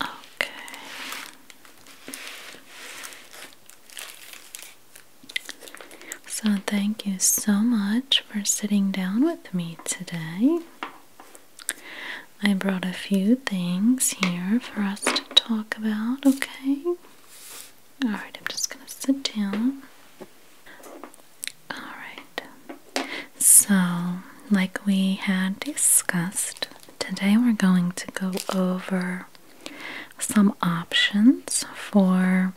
Okay. So, thank you so much for sitting down with me today. I brought a few things here for us to talk about, okay? Alright, I'm just gonna sit down. Alright, so like we had discussed, today we're going to go over some options for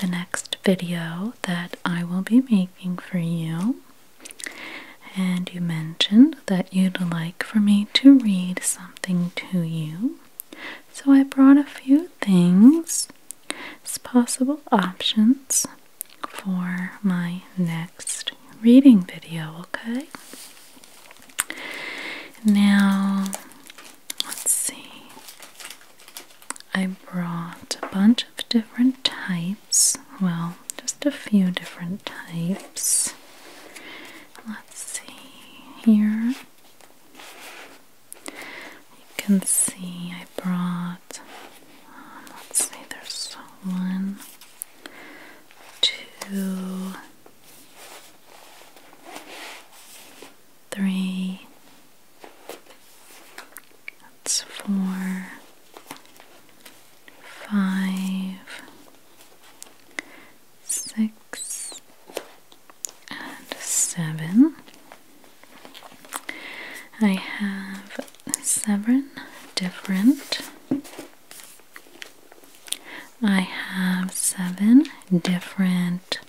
the next video that I will be making for you. And you mentioned that you'd like for me to read something to you. So I brought a few things possible options for my next reading video, okay? Now, let's see. I brought a bunch of different types. Well, just a few different types. Let's see here. You can see I brought, um, let's see, there's one, two, three, that's four, five, six, and seven. I have seven different. I have seven different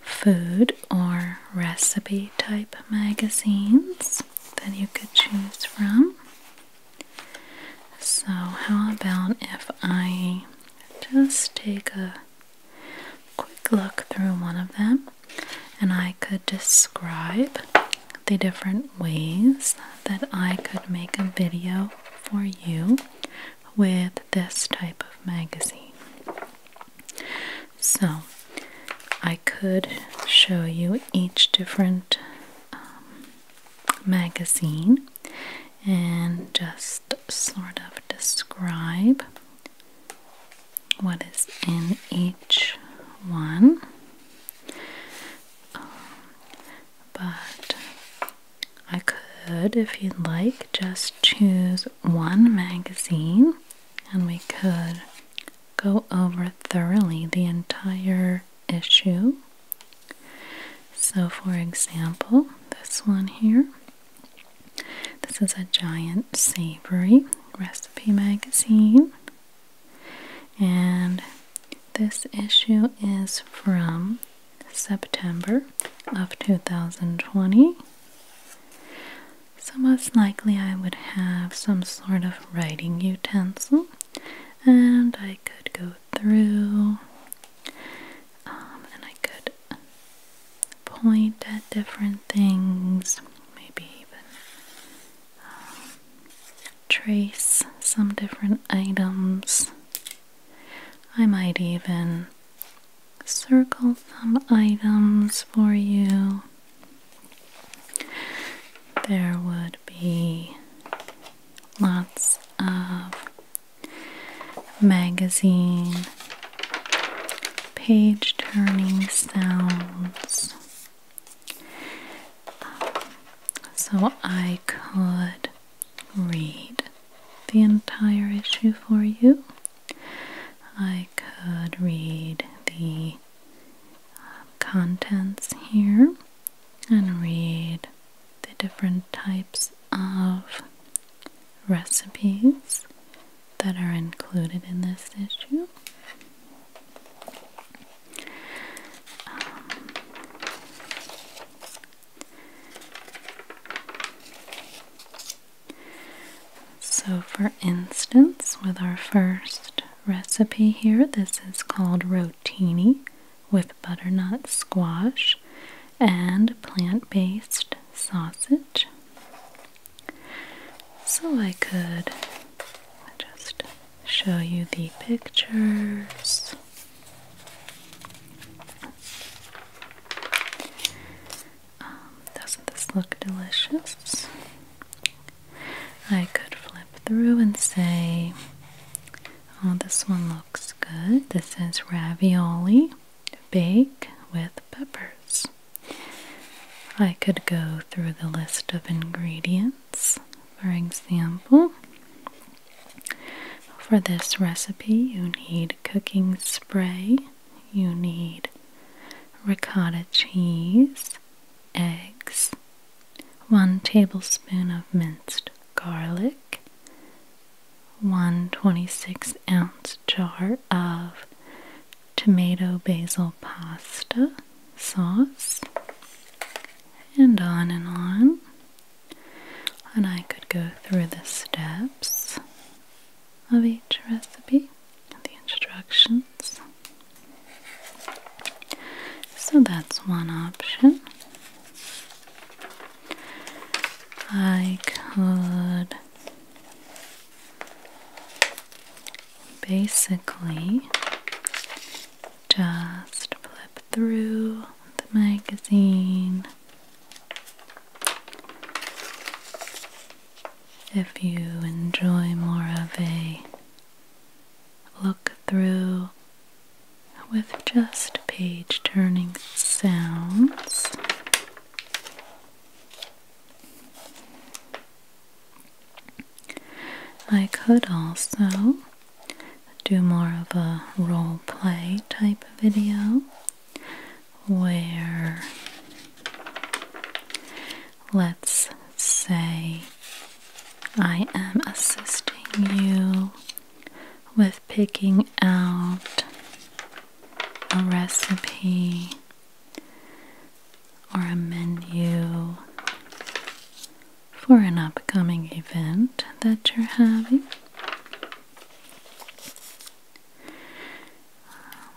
food or recipe type magazines that you could choose from. So, how about if I just take a quick look through one of them? and I could describe the different ways that I could make a video for you with this type of magazine. So, I could show you each different um, magazine and just sort of describe what is in each one. Um, but I could, if you'd like, just choose one magazine and we could go over thoroughly the entire issue. So, for example, this one here. This is a giant savory recipe magazine. And this issue is from September of 2020. So, most likely, I would have some sort of writing utensil and I could go through um, and I could point at different things, maybe even trace some different items. I might even circle some items for you. There would be lots of magazine page turning sounds so I could read the entire issue for you. I could read the um, contents here and read the different types of recipes that are included in this issue. Um, so, for instance, with our first recipe here, this is called rotini with butternut squash and plant based sausage. So I could just show you the pictures. Um, doesn't this look delicious? I could flip through and say, Oh, this one looks good. This is ravioli bake with peppers. I could go through the list of ingredients. For example, for this recipe, you need cooking spray, you need ricotta cheese, eggs, one tablespoon of minced garlic, one twenty-six ounce jar of tomato basil pasta sauce, and on and on. And I could go through the steps of each recipe, the instructions. So that's one option. I could basically just flip through the magazine. If you enjoy more of a look through with just page turning sounds, I could also do more of a role play type video where let's say I am assisting you with picking out a recipe or a menu for an upcoming event that you're having. Um,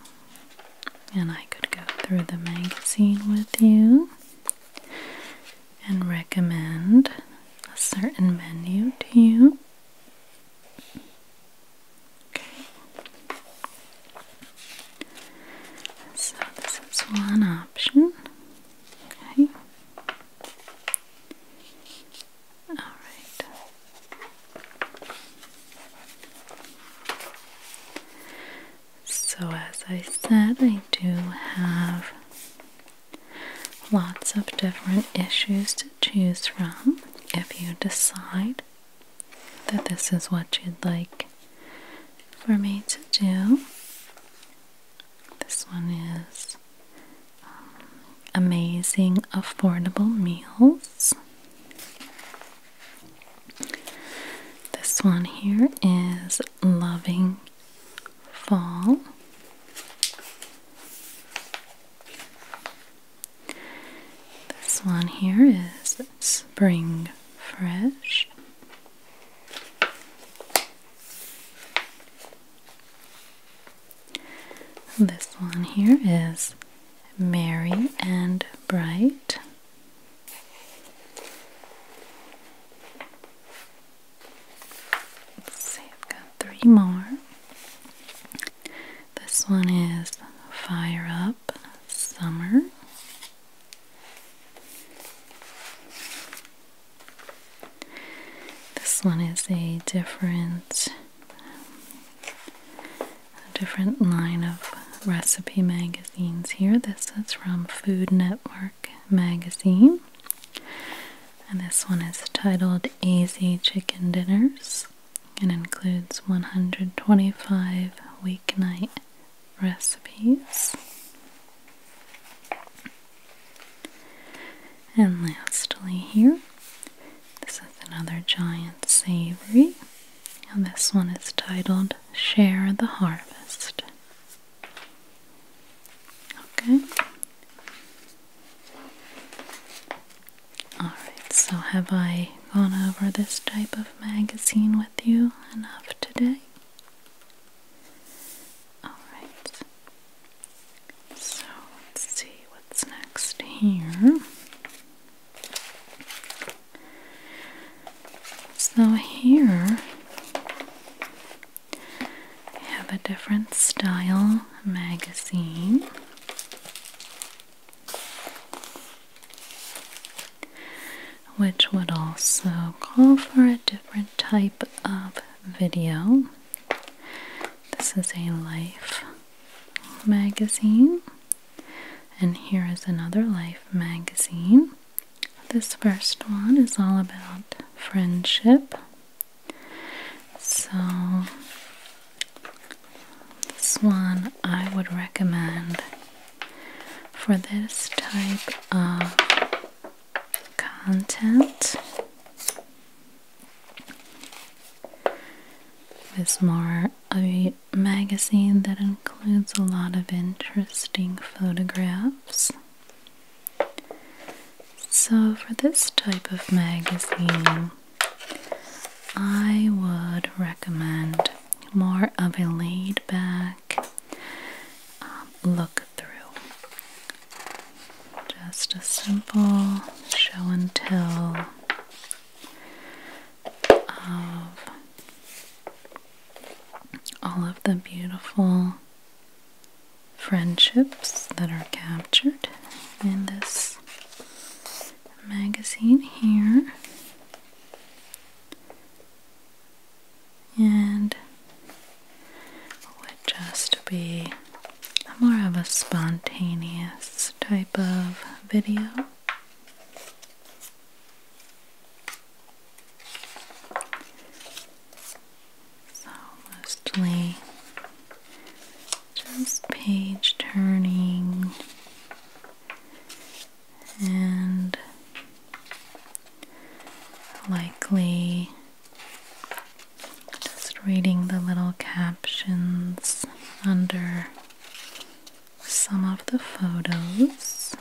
and I could go through the magazine with you and recommend a certain menu to you. So this is one option. Okay. All right. So, as I said, I do have lots of different issues to choose from if you decide that this is what you'd like for me to do. This one is um, Amazing Affordable Meals. This one here is Loving Fall. This one here is Spring Fresh. This one here is Merry and Bright. Let's see, I've got three more. This one is Fire Up Summer. This one is a different a different line of recipe magazines here. This is from Food Network magazine. And this one is titled Easy Chicken Dinners and includes 125 weeknight recipes. And lastly, here, this is another giant savory, and this one is titled Share the Harvest. Okay. Alright, so have I gone over this type of magazine with you enough today? Alright, so let's see what's next here. So, here I have a different style magazine which would also call for a different type of video. This is a Life magazine, and here is another Life magazine. This first one is all about friendship. So, this one I would recommend for this type of content is more a magazine that includes a lot of interesting photographs. So, for this type of magazine, I would recommend more of a laid back, um, look through. Just a simple show and tell of all of the beautiful friendships that are captured in this magazine here and would just be more of a spontaneous type of video. So mostly just page turning and likely just reading the little captions under some of the photos.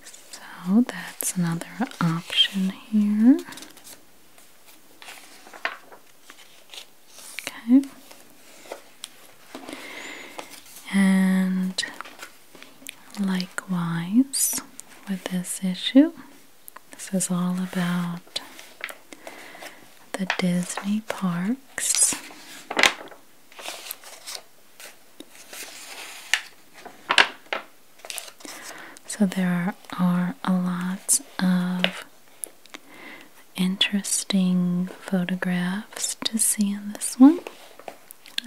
So that's another option here. Okay. And likewise with this issue, this is all about the Disney parks. So there are, are a lot of interesting photographs to see in this one,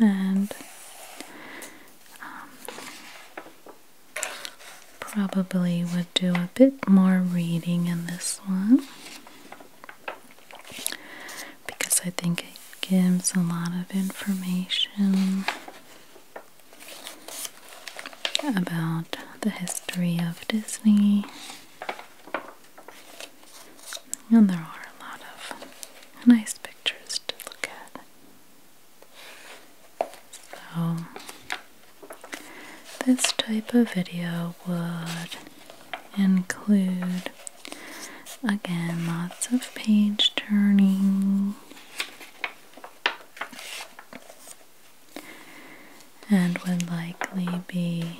and um, probably would do a bit more reading in this one because I think it gives a lot of information about the history of Disney. And there are a lot of nice pictures to look at. So, this type of video would include, again, lots of page turning and would likely be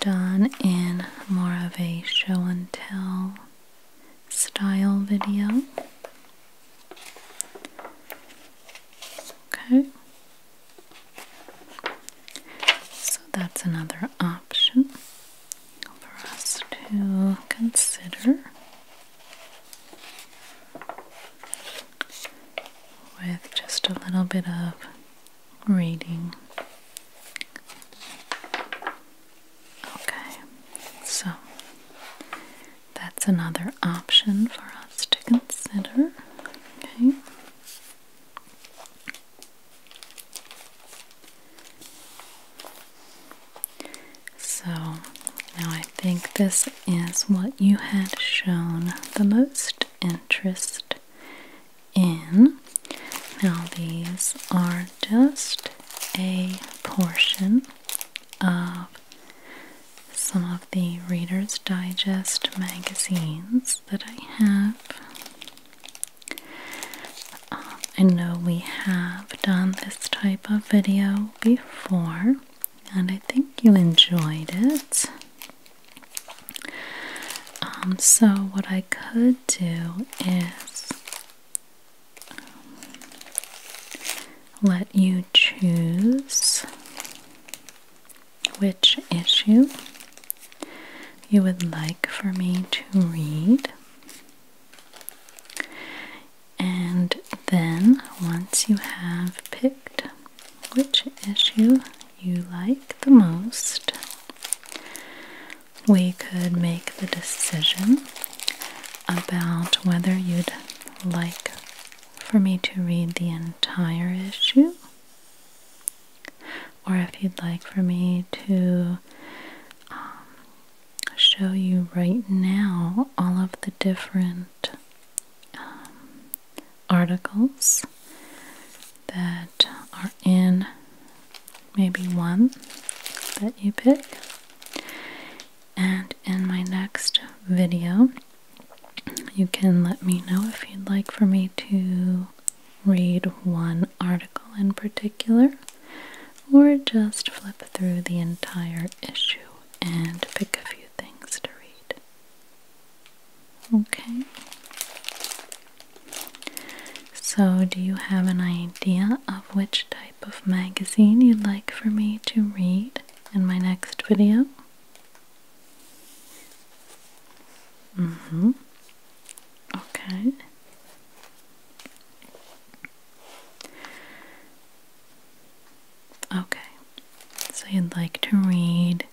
done in more of a show and tell style video. Okay. So that's another option for us to consider with just a little bit of reading. Okay, so that's another option for us to consider. Okay. So now I think this is what you had shown the most interest in. Now, these are just a portion of some of the Reader's Digest magazines that I have. Um, I know we have done this type of video before, and I think you enjoyed it. Um, so, what I could do is um, let you choose which issue you would like for me to read. And then, once you have picked which issue you like the most. We could make the decision about whether you'd like for me to read the entire issue or if you'd like for me to um, show you right now all of the different um, articles that are in maybe one that you pick. And in my next video, you can let me know if you'd like for me to read one article in particular or just flip through the entire issue and pick a few things to read. Okay. So, do you have an idea of which type of magazine you'd like for me to read in my next video? Mm hmm. Okay. Okay, so you'd like to read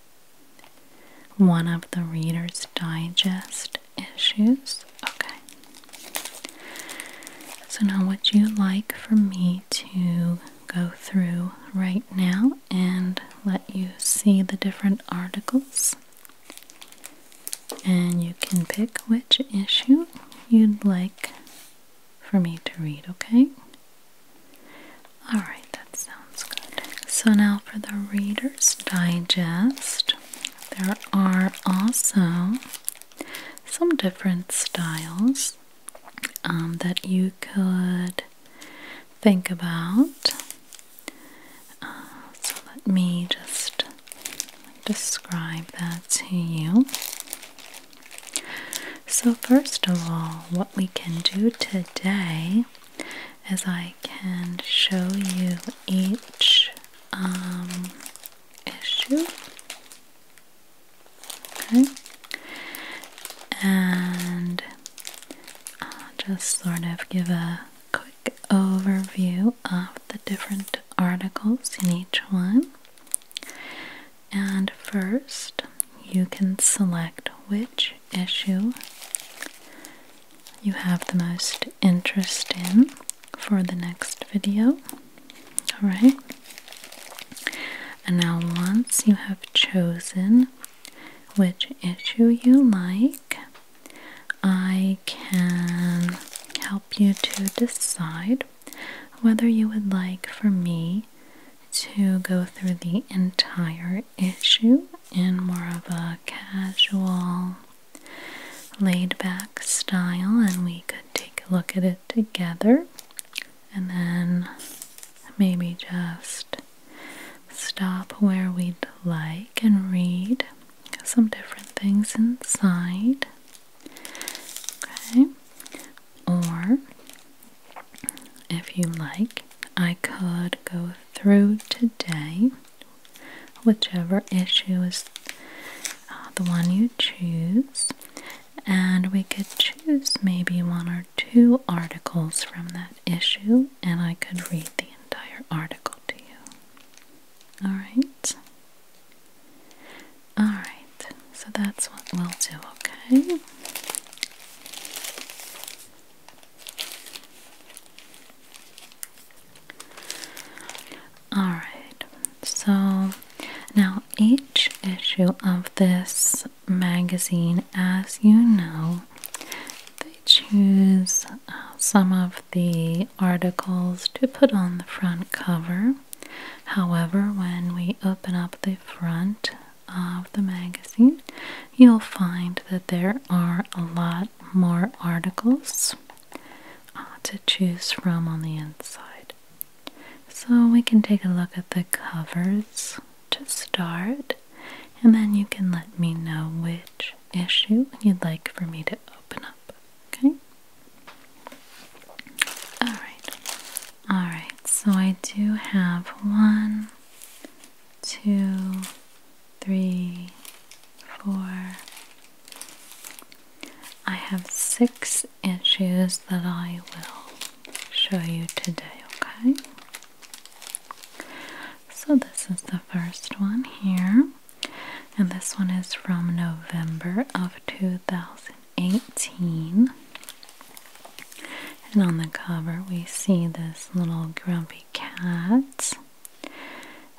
one of the Reader's Digest issues? Okay. So now, what you like for me to go through right now and let you see the different articles? And you can pick which issue you'd like for me to read, okay? Alright, that sounds good. So now for the Reader's Digest, there are also some different styles um, that you could think about. Uh, so let me just describe that to you. So, first of all, what we can do today is I can show you each um, issue. Okay. And uh, just sort of give a quick overview of the different articles in each one. And first, you can select which issue you have the most interest in for the next video. Alright? And now, once you have chosen which issue you like, I can help you to decide whether you would like for me to go through the entire issue in more of a casual, laid back style, and we could take a look at it together and then maybe just stop where we'd like and read some different things inside. Okay, or if you like, I could go through today whichever issue is uh, the one you choose, and we could choose maybe one or two articles from that issue, and I could read the entire article to you. All right. All right. So that's what we'll do, okay? All right, so now each issue of this magazine, as you know, they choose uh, some of the articles to put on the front cover. However, when we open up the front, of the magazine, you'll find that there are a lot more articles uh, to choose from on the inside. So we can take a look at the covers to start, and then you can let me know which issue you'd like for me to open up. Okay? Alright, Alright, so I do have one, two, three, four. I have six issues that I will show you today, okay? So, this is the first one here, and this one is from November of 2000. 18. And on the cover, we see this little grumpy cat.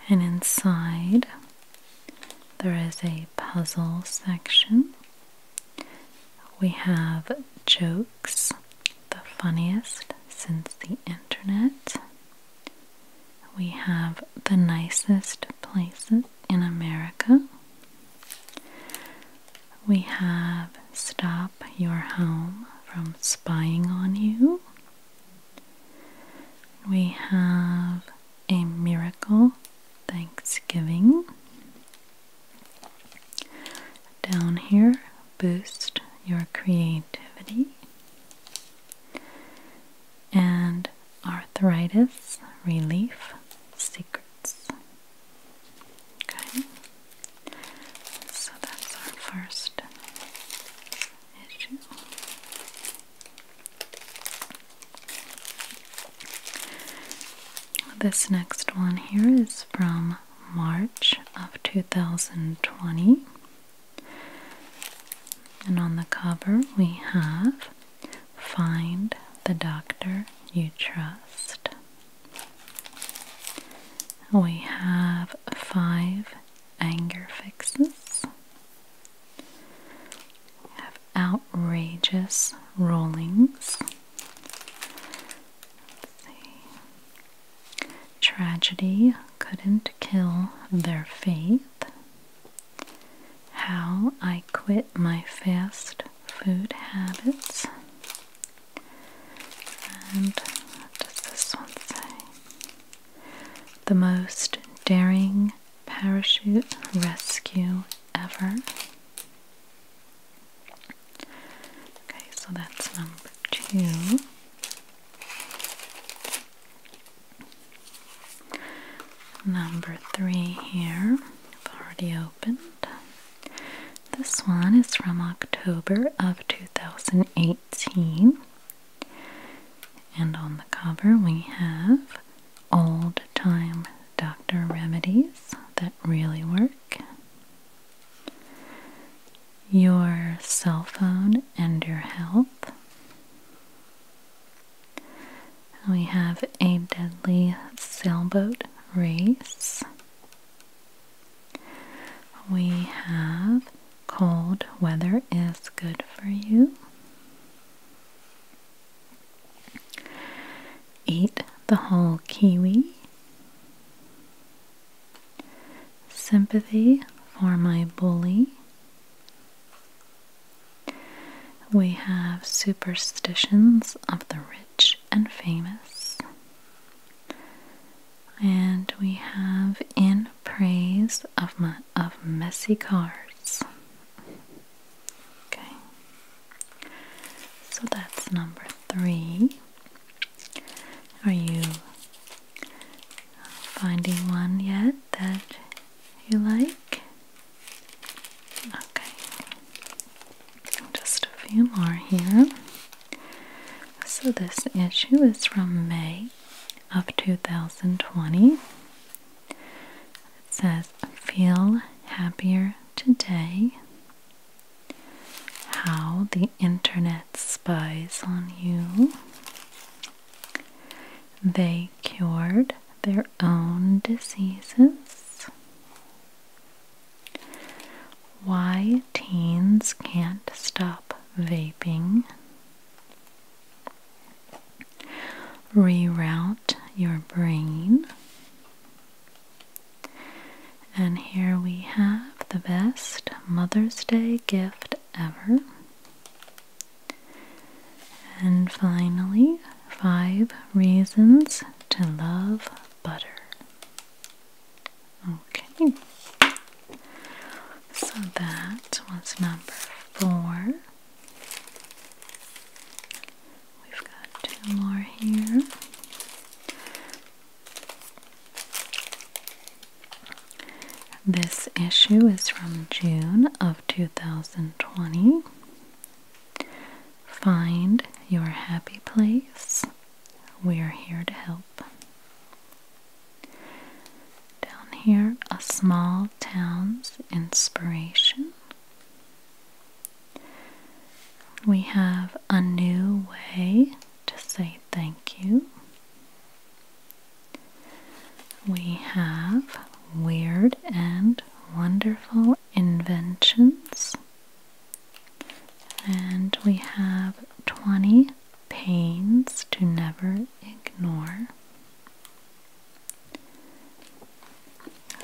And inside, there is a puzzle section. We have jokes, the funniest since the internet. We have the nicest places in America. We have Stop Your Home from Spying on You. We have A Miracle Thanksgiving. Down here, Boost Your Creativity. And Arthritis Relief Secrets. Okay, so that's our first issue. This next one here is from March of 2020. And on the cover, we have Find the Doctor You Trust. We have five anger fixes. We have outrageous rollings. see. Tragedy couldn't kill their faith. How I quit my fast food habits. And what does this one say? The most daring parachute rescue ever. Okay, so that's number two. Number three here, we've already this one is from October of 2018. And on the cover, we have old time doctor remedies that really work. Your cell phone and your health. We have a deadly sailboat race we have cold weather is good for you. Eat the whole kiwi. Sympathy for my bully. We have superstitions of the rich and famous. And we have in praise of of messy cards. Okay. So that's number three. Are you finding one yet that you like? Okay. Just a few more here. So, this issue is from May of 2020. It says, Feel happier today. How the internet spies on you. They cured their own diseases. Why teens can't stop vaping. Reroute your brain. And here we have the best Mother's Day gift ever. And finally, five reasons to love butter. Okay, so that was number four. We've got two more here. This issue is from June of 2020. Find your happy place we are here to help. Down here, a small town's inspiration. We have a new way to say thank you. We have weird and wonderful inventions. And we have 20 pains to never ignore.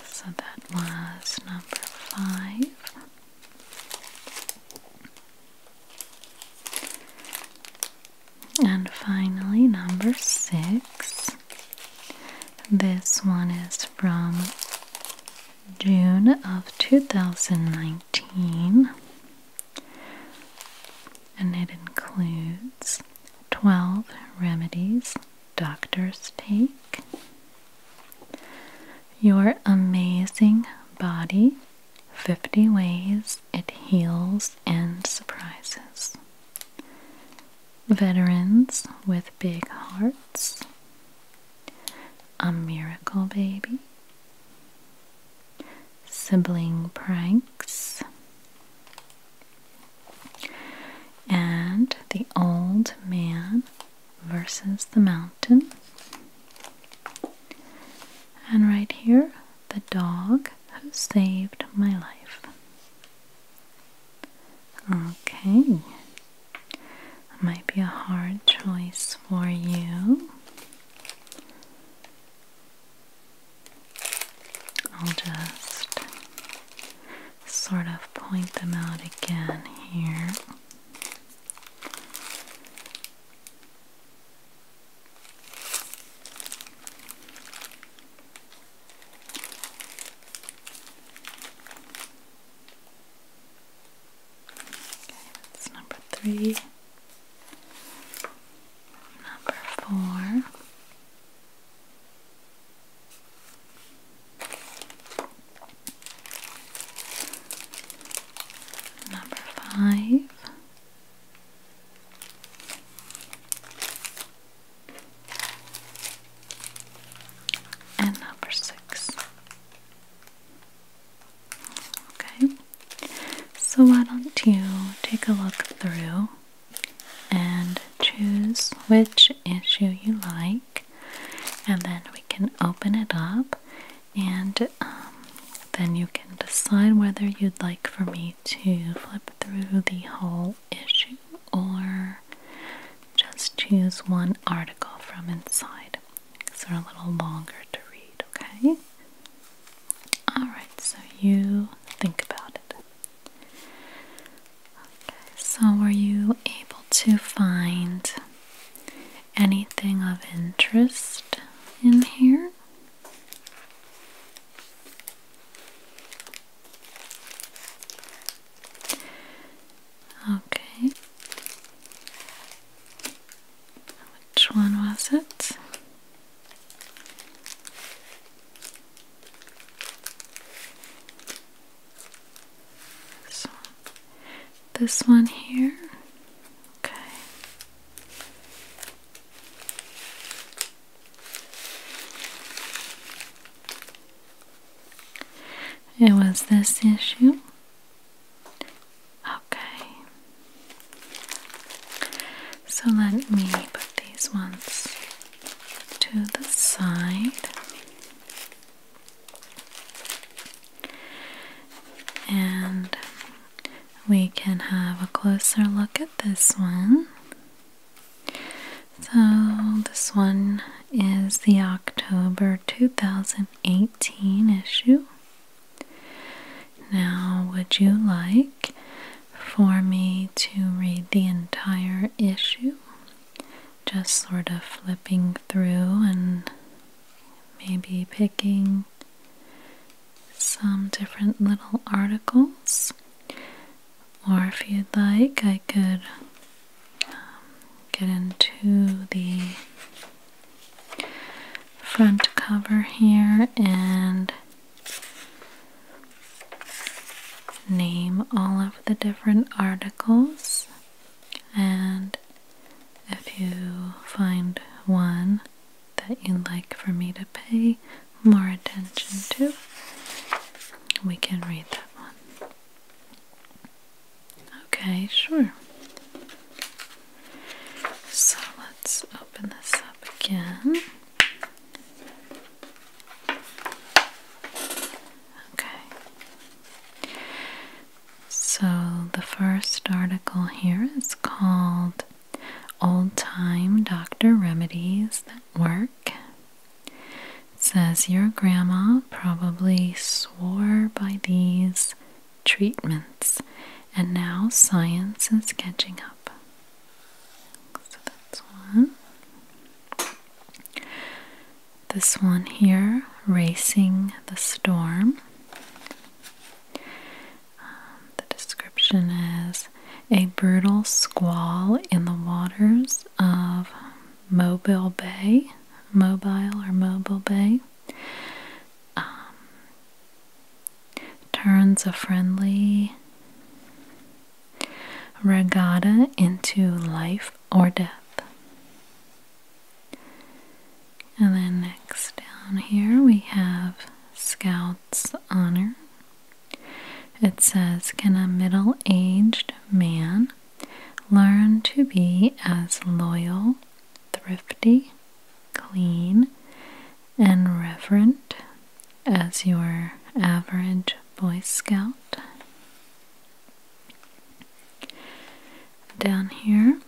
So that was number five. And finally, number six. This one is from June of 2019, and it includes 12 remedies doctors take, your amazing body, 50 ways it heals and surprises, veterans with big hearts. A Miracle Baby, Sibling Pranks, and The Old Man versus the Mountain. And right here, The Dog Who Saved My Life. Okay, it might be a hard choice for you. I'll just sort of point them out again here. Okay, that's number three. Number four. Number five. And number six. Okay, so why don't you take a look through and choose which issue you like, and then we can open it up, and um, then you can decide whether you'd like for me to flip through the whole issue or just choose one article from inside because they're a little longer to read, okay? Alright, so you think about it. so were you able to find anything of interest in here? Okay. Which one was it? This one. here. Okay. It was this issue Okay. So let me put these ones to the side. And we can have a closer look at this one. So, this one is the October 2008. 2018 issue. Now, would you like for me to read the entire issue? Just sort of flipping through and maybe picking some different little articles. Or if you'd like, I could get into the front cover here and name all of the different articles and if you find one that you like for me to pay more attention to, we can read that one. Okay, sure. So let's open this up again. Okay. So the first article here is called Old Time Doctor Remedies That Work. says your grandma probably swore by these treatments, and now science is catching up. So that's one. This one here, Racing the Storm. Um, the description is a brutal squall in the waters of Mobile Bay, Mobile or Mobile Bay. Um, turns a friendly regatta into life or death. And then next down here we have Scout's Honor. It says, Can a middle aged man Learn to be as loyal, thrifty, clean, and reverent as your average Boy Scout. Down here,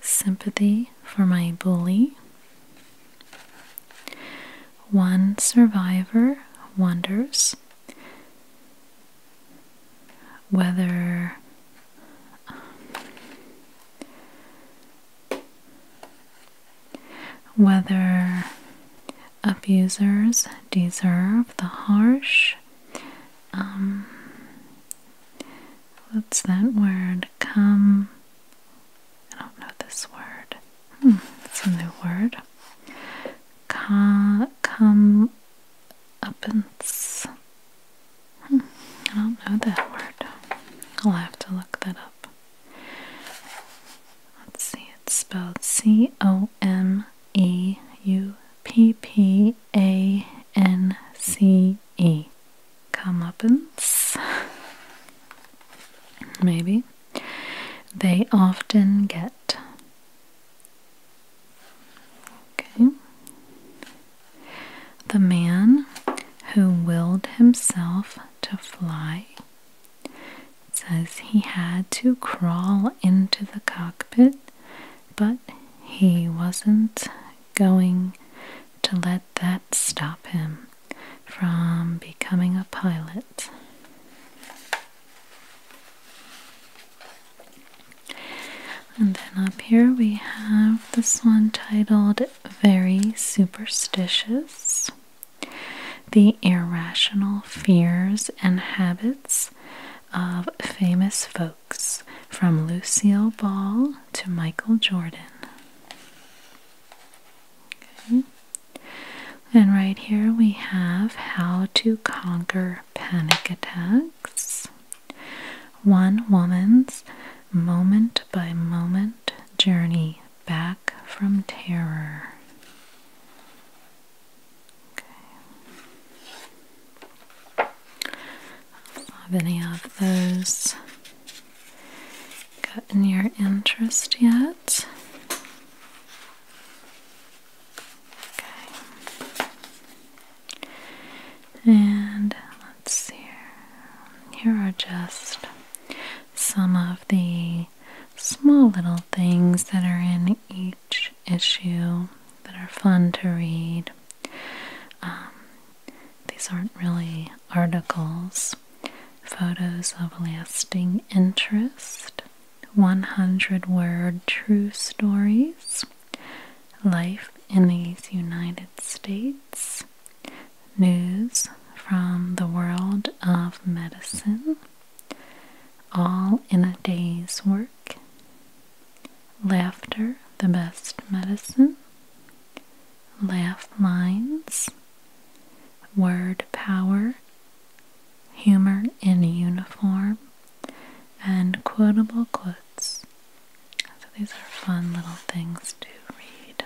sympathy for my bully. One survivor wonders whether um, whether abusers deserve the harsh um, what's that word come I don't know this word hmm, it's a new word come come up and I don't know that word. I'll have to look that up. Let's see, it's spelled C O M E U P P A N C E. Comeuppance. Maybe. They often get Okay. The man who willed himself to fly says he had to crawl into the cockpit, but he wasn't going to let that stop him from becoming a pilot. And then up here we have this one titled Very Superstitious The Irrational Fears and Habits of Famous Folks from Lucille Ball to Michael Jordan. And right here we have How to Conquer Panic Attacks. One woman's moment by moment journey back from terror. have any of those gotten your interest yet? And let's see here. are just some of the small little things that are in each issue that are fun to read. Um, these aren't really articles. Photos of lasting interest, 100 word true stories, life in these United States, news from the world of medicine, all in a day's work, laughter, the best medicine, laugh lines, word power, humor in uniform, and quotable quotes. So these are fun little things to read.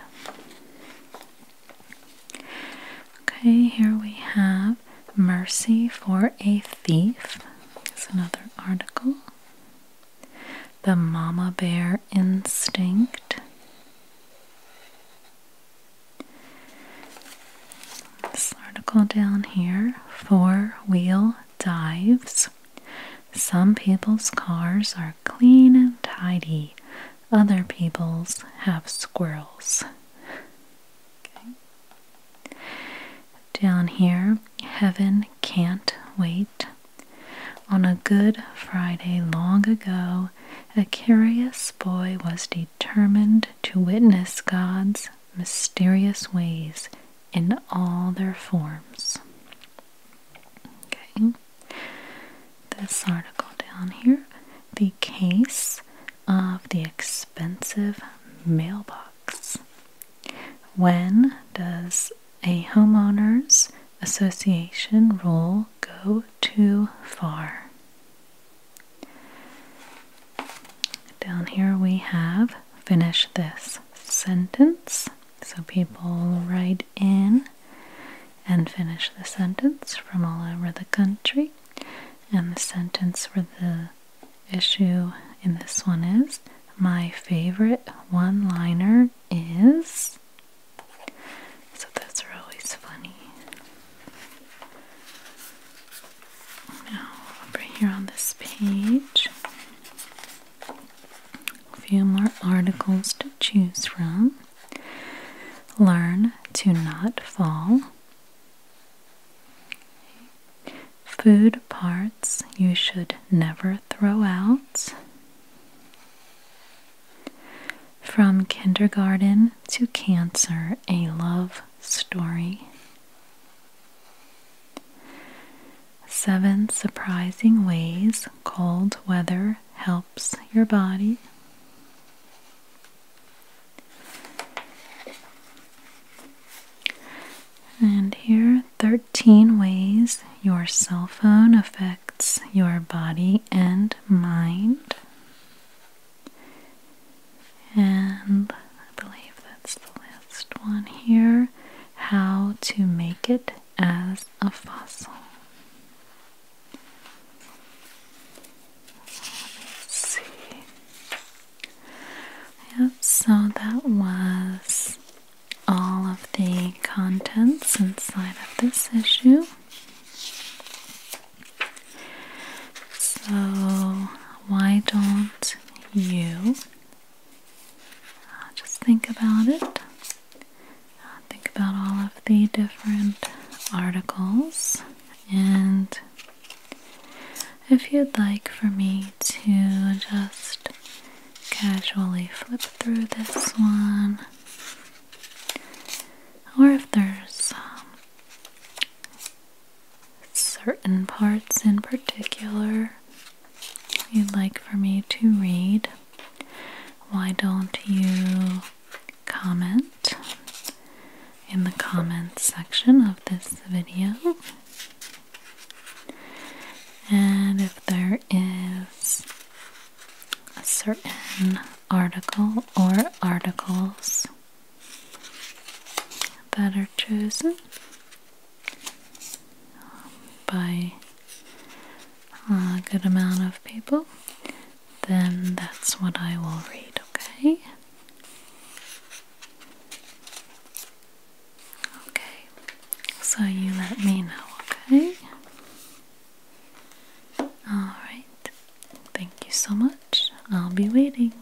Okay, here we have Mercy for a Thief. It's another article. The Mama Bear Instinct. This article down here, Four Wheel dives. Some people's cars are clean and tidy, other people's have squirrels. Down here, heaven can't wait. On a Good Friday long ago, a curious boy was determined to witness God's mysterious ways in all their forms. Okay, this article down here the case of the expensive mailbox. When does a homeowners association rule go too far? Down here we have finish this sentence. So people write in and finish the sentence from all over the country. And the sentence for the issue in this one is My favorite one liner is. So those are always funny. Now, over here on this page, few more articles to choose from. Learn to not fall. Food parts you should never throw out. From kindergarten to cancer, a love story. Seven surprising ways cold weather helps your body. And here, 13 ways your cell phone affects your body and mind. And I believe that's the last one here how to make it as a fossil. Let's see. Yep, so that was all of the contents inside of this issue. So, why don't you uh, just think about it. Uh, think about all of the different articles. And if you'd like for me to just casually flip through this one, or if there's um, certain parts in particular you'd like for me to read, why don't you comment in the comments section of this video? And if there is a certain article or articles that are chosen, by a good amount of people, then that's what I will read, okay? Okay, so you let me know, okay? Alright, thank you so much. I'll be waiting.